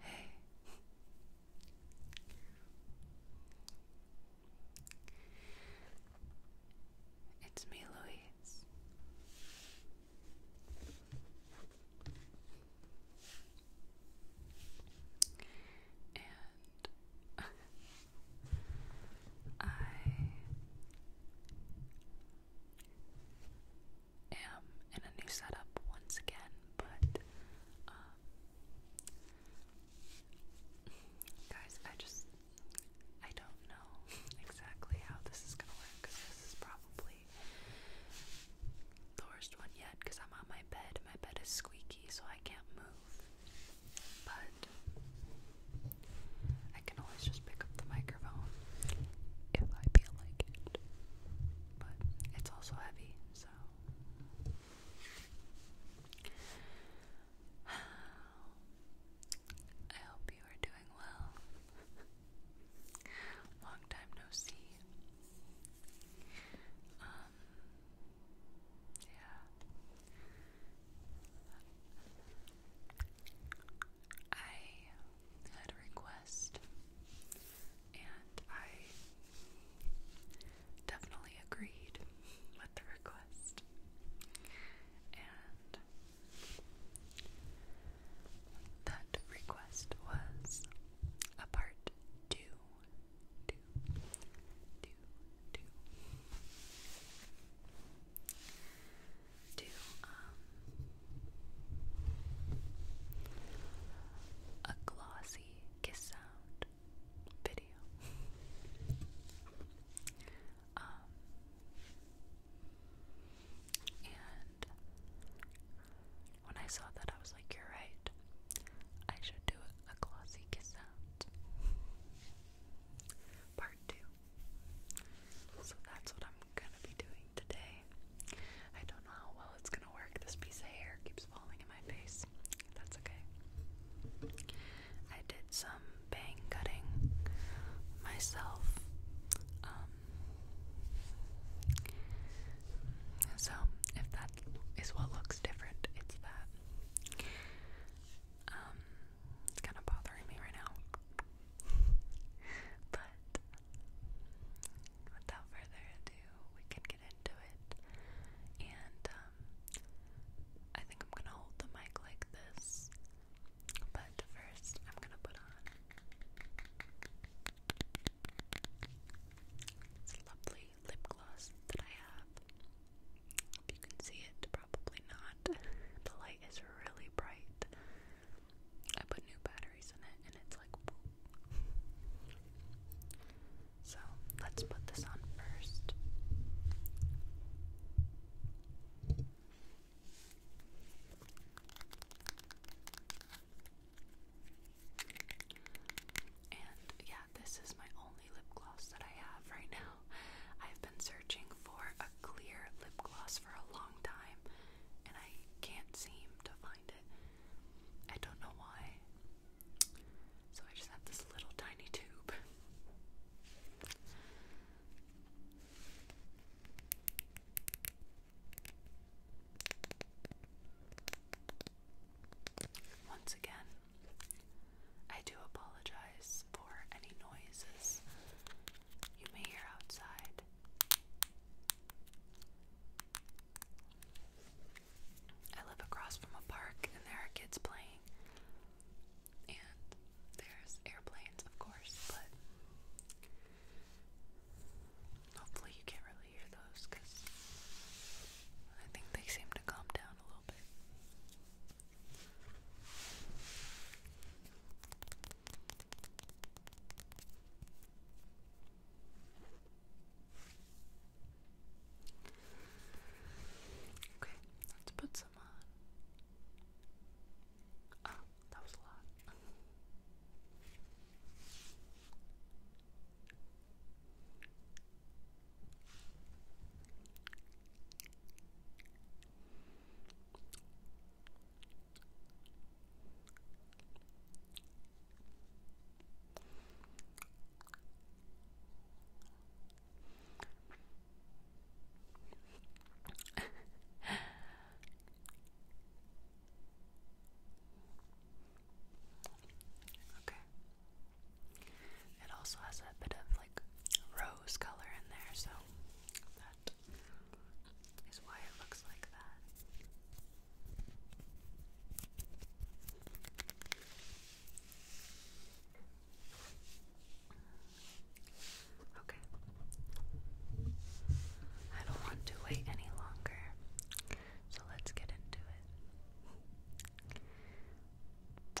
Hey. It's me, Louise. And I am in a new setup once again, but um, guys, I just I don't know exactly how this is gonna work because this is probably the worst one yet because I'm on my bed. My bed is squeaky, so I can't move. But I can always just pick up the microphone if I feel like it. But it's also heavy, so. I hope you are doing well. Long time no see. Um, yeah. I had a request, and I definitely agreed with the request. And that request was a part two, two, two, two to um, a glossy kiss sound video. Um, and when I saw that, I was like, "You're right. I should do a glossy kiss sound." Part two. So that's what I'm gonna be doing today. I don't know how well it's gonna work. This piece of hair keeps falling in my face. That's okay. I did some bang cutting myself. Um, so if that is what looks different, it's that. Um, it's kind of bothering me right now. but without further ado, we can get into it. And um, I think I'm gonna hold the mic like this. But first, I'm gonna put on this lovely lip gloss that I have. If you can see it, probably not. the light is really bright. I put new batteries in it and it's like So let's put this on first. And yeah, this is my only lip gloss that I have right now. I've been searching for a clear lip gloss for a long time and I can't seem to find it. I don't know why. So I just have this little tiny tube. Once again, I do apologize for any noises you may hear outside. I live across from a park and there are kids playing. And there's airplanes, of course, but hopefully you can't really hear those because I think they seem to calm down a little bit. Okay, let's put some on. Oh, that was a lot okay. It also has a bit of like rose color in there, so uh, that is why it looks like that. Okay. I don't want to wait any longer, so let's get into it.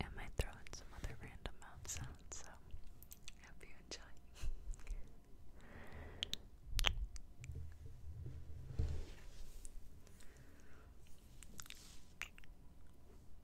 I might throw in some other random mouth sounds, so I you enjoy.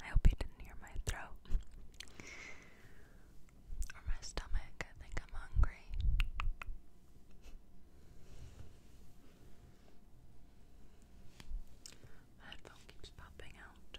I hope you didn't hear my throat or my stomach. I think I'm hungry. My headphone keeps popping out.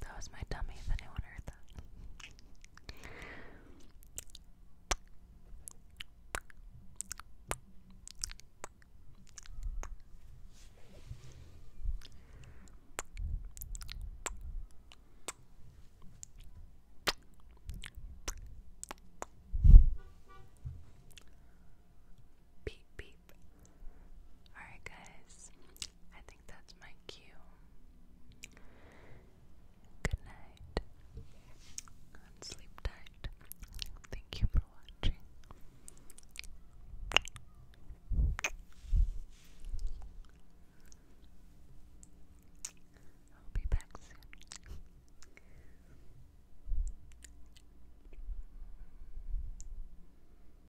That was my dummy if anyone heard that. Beep, beep, Alright, guys, I think that's my cue. Good night sleep tight. Thank you for watching. I'll be back soon.